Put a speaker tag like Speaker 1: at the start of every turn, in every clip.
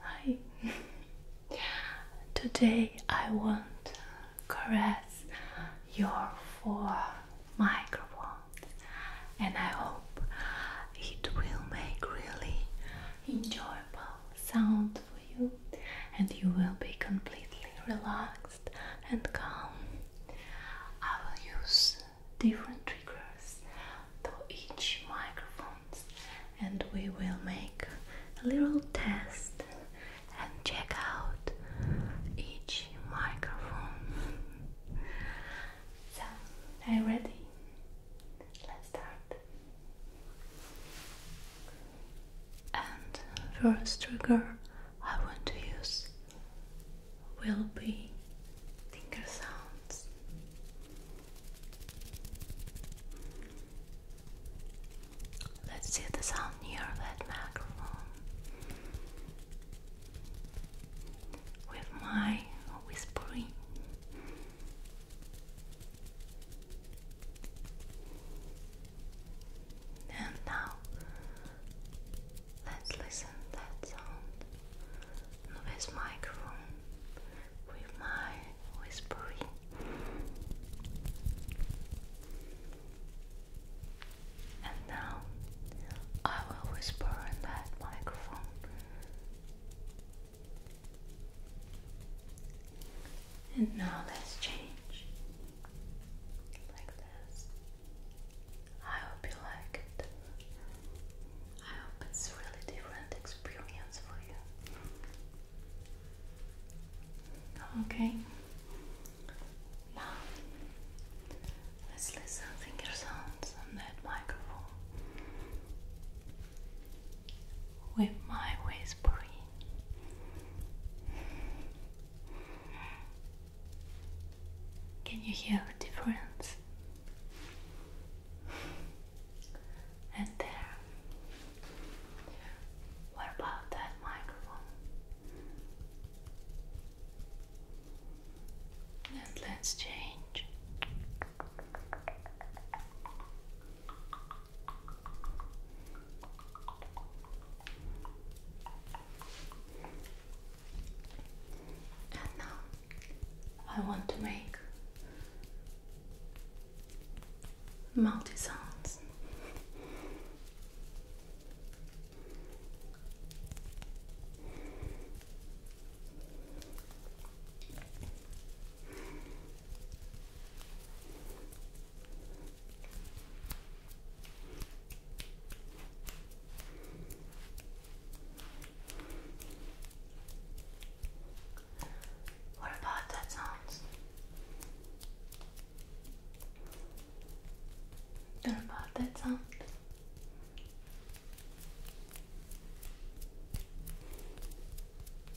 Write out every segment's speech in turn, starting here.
Speaker 1: Hi. Today I want to caress your four microphones and I hope it will make really enjoyable sound for you, and you will be completely relaxed and calm. I will use different triggers to each microphone, and we will make a little test and check out each microphone. So, are you ready? Let's start. And first trigger I want to use will be finger sounds. Let's see the sound near that microphone. With my whispering and now let's listen that sound with microphone with my whispering. And now I will whisper in that microphone and now let's change like this. I hope you like it. I hope it's really different experience for you. Okay. Now let's listen finger sounds on that microphone with my whispering. Can you hear the difference? And there. What about that microphone? And let's change. And now I want to make multi sounds. What about that sounds? What about that sound?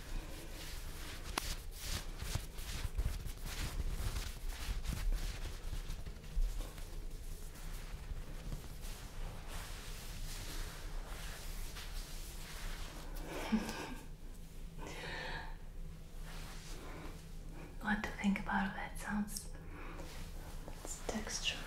Speaker 1: what to think about that sounds? It's texture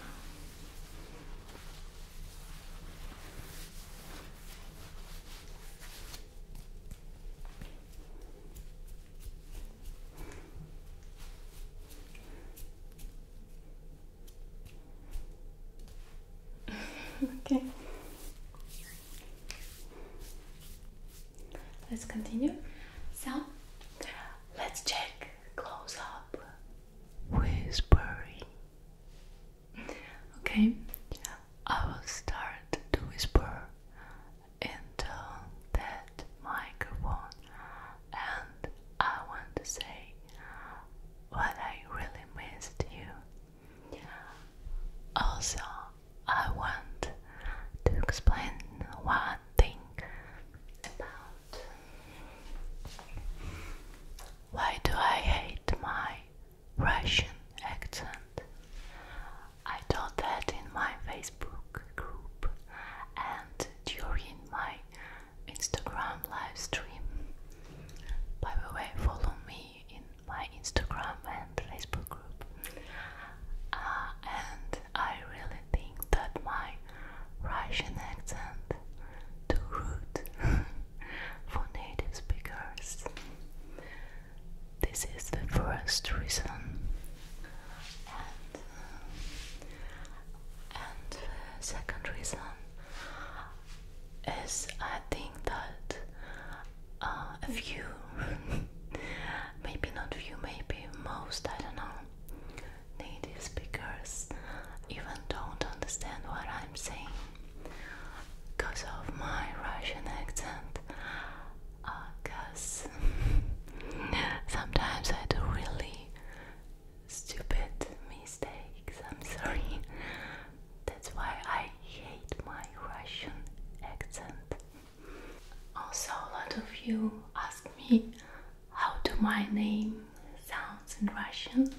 Speaker 1: okay. Let's continue. So, let's check close up. Whispering. Okay, I will start to whisper into that microphone, and I want to say what I really missed you. Also, I want to explain one thing about why do I hate my Russian accent. I taught that in my Facebook group and during my Instagram live By the way, follow me in my Instagram and Facebook group. Uh, and I really think that my Russian accent too rude. for native speakers. This is the first reason. And, uh, the second reason is I think that uh, a few, maybe not few, maybe most, I don't know, native speakers even don't understand what I'm saying because of my Russian accent. Because uh, sometimes I do really stupid mistakes. I'm sorry. That's why I hate my Russian accent. Also, a lot of you ask me how do my name sounds in Russian.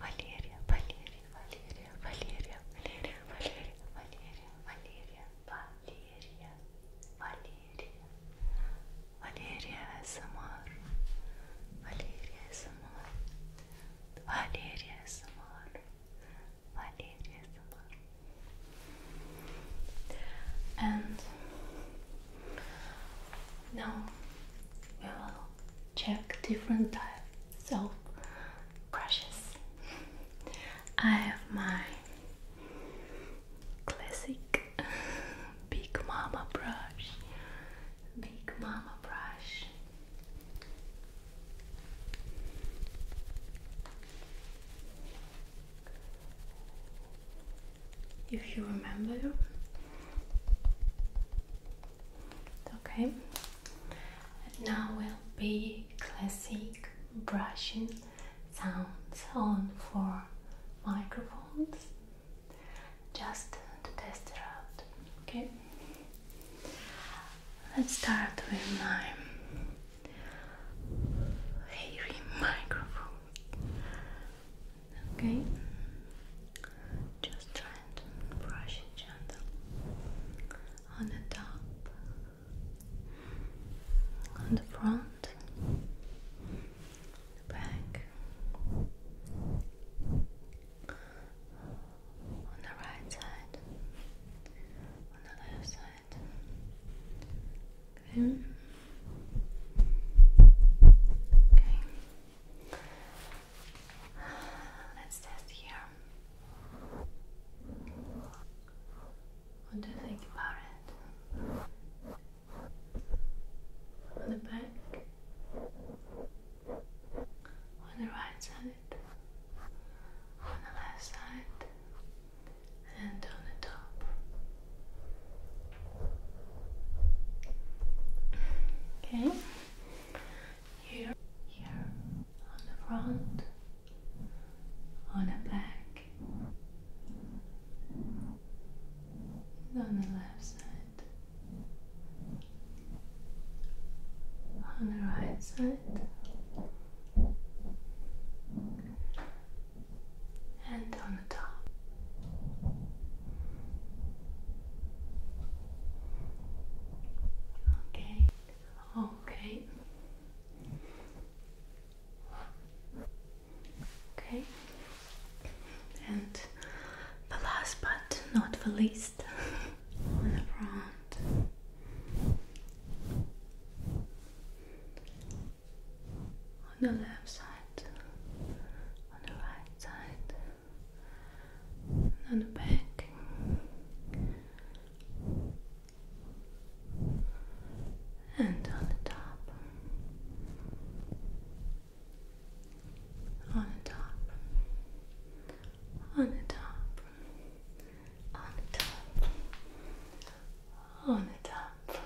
Speaker 1: Valeria, Valeria, Valeria, Valeria, Valeria, Valeria, Valeria, Valeria, Valeria, Valeria, Valeria SMR, Valeria SMR, Valeria SMR, Valeria SMR. And now we will check different types of brushes. I have my classic Big Mama brush. Big Mama brush if you remember. Okay, and now will be classic brushing sounds on for microphones just to test it out. Okay, let's start with my hairy microphone. Okay, just try and brush it gentle on the top, on the front, the back, on the right side, on the left side. Okay. Okay. Let's test here. What do you think about it? On the back? On the right side? On the left side? And on the top? Okay. Here, here, on the front, on the back, on the left side, on the right side and on the top. Okay, okay, okay, and the last but not the least on the front on the left side, on the right side, and on the back. And on the top, on the top, on the top, on the top, on the top,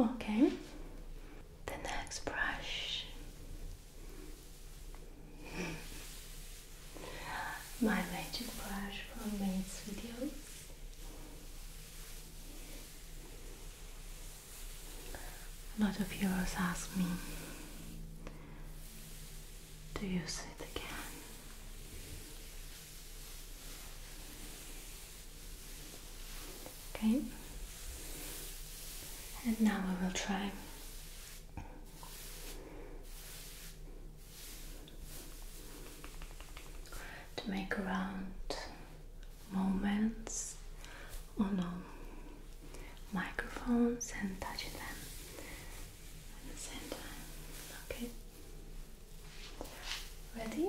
Speaker 1: Okay, the next brush my magic brush from minutes videos. A lot of viewers ask me to use it again. Okay, and now I will try to make around moments on microphones and touching them at the same time. Okay. Ready?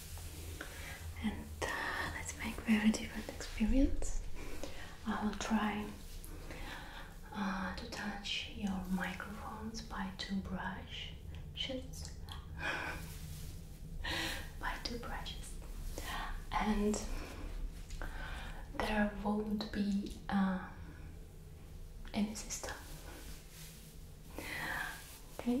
Speaker 1: and uh, let's make very different experience. I will try uh, to touch your microphones by two brushes, by two brushes, and there won't be um, any system. Okay,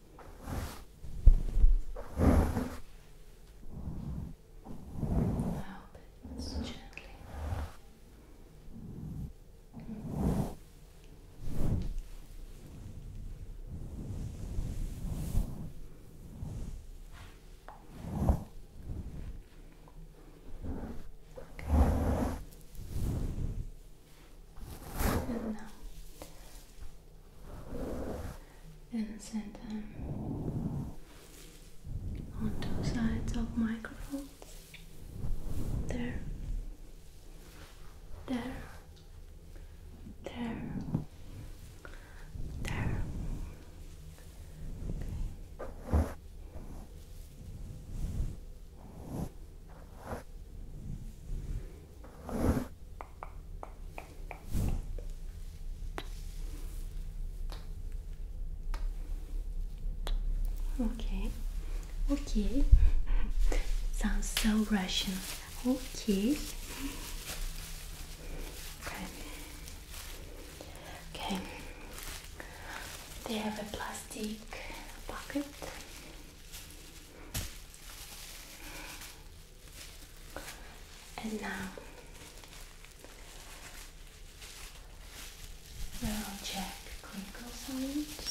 Speaker 1: Now, gently. Okay and now insert them on two sides of microphones. There, there, there, there. Okay, okay, sounds so Russian. Okay, okay, They have a plastic bucket. And now we'll check clinical signs.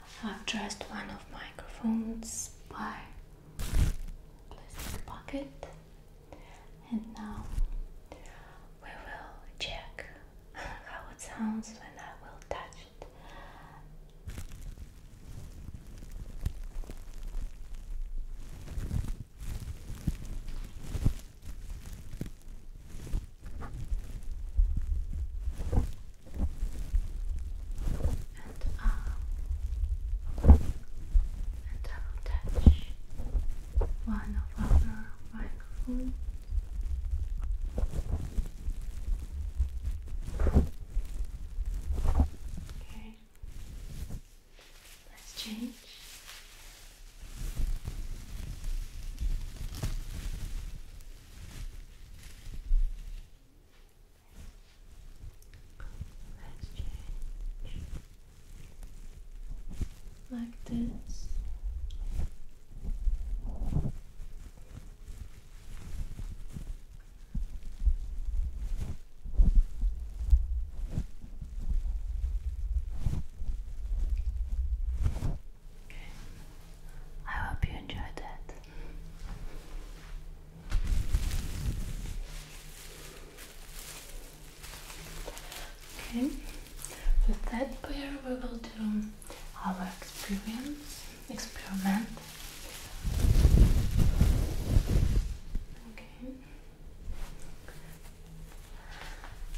Speaker 1: I have just one of microphones by plastic pocket and now we will check how it sounds when I will touch it and arm uh, and touch one of our microphones okay let's change Let's change like this. Okay. I hope you enjoyed that. Okay, with that pair we will do our experience experiment. Okay.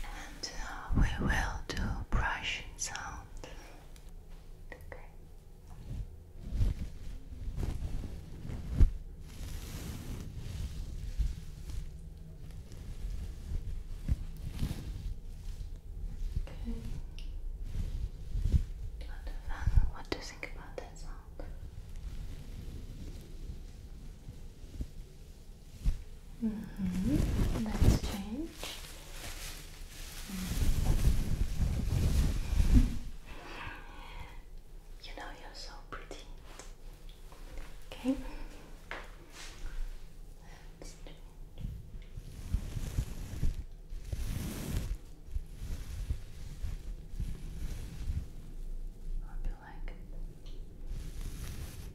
Speaker 1: And uh, we will do brushing sound. Okay. Okay. What, do you think about that sound? Mm-hmm. Let's change. You know you're so pretty. Okay.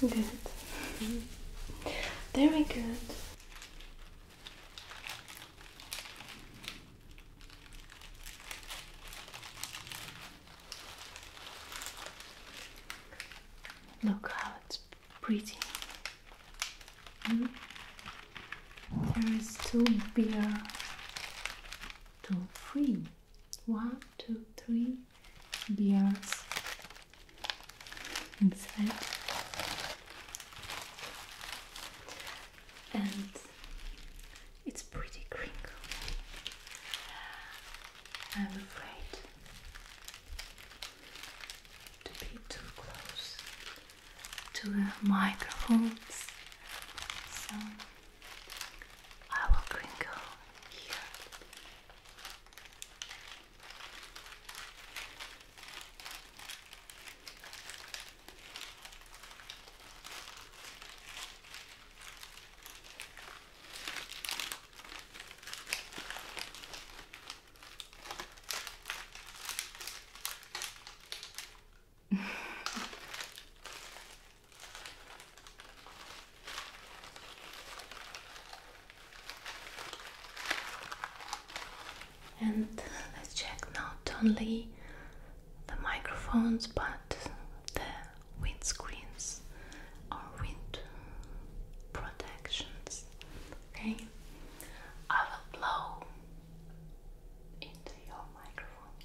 Speaker 1: Good. Very good. Look how it's pretty. Mm -hmm. There is two beer, two free one, two, three beers inside, and it's pretty crinkly. I'm afraid to be too close to the microphones, I will crinkle here. And let's check not only the microphones but the windscreens or wind protections. Okay, I will blow into your microphone.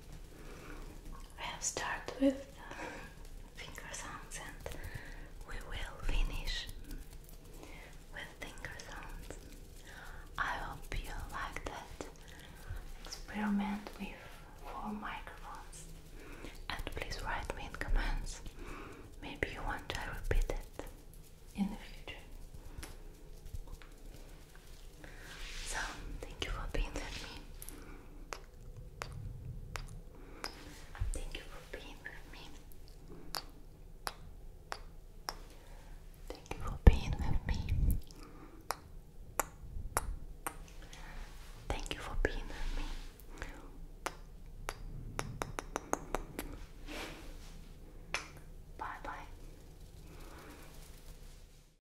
Speaker 1: We have started with finger sounds and we will finish with finger sounds. I hope you like that experiment with four microphones and please write me in comments. Maybe you want to repeat it in the future. So, thank you for being with me. Thank you for being with me. Thank you for being with me. Thank you for being with me. Bye bye.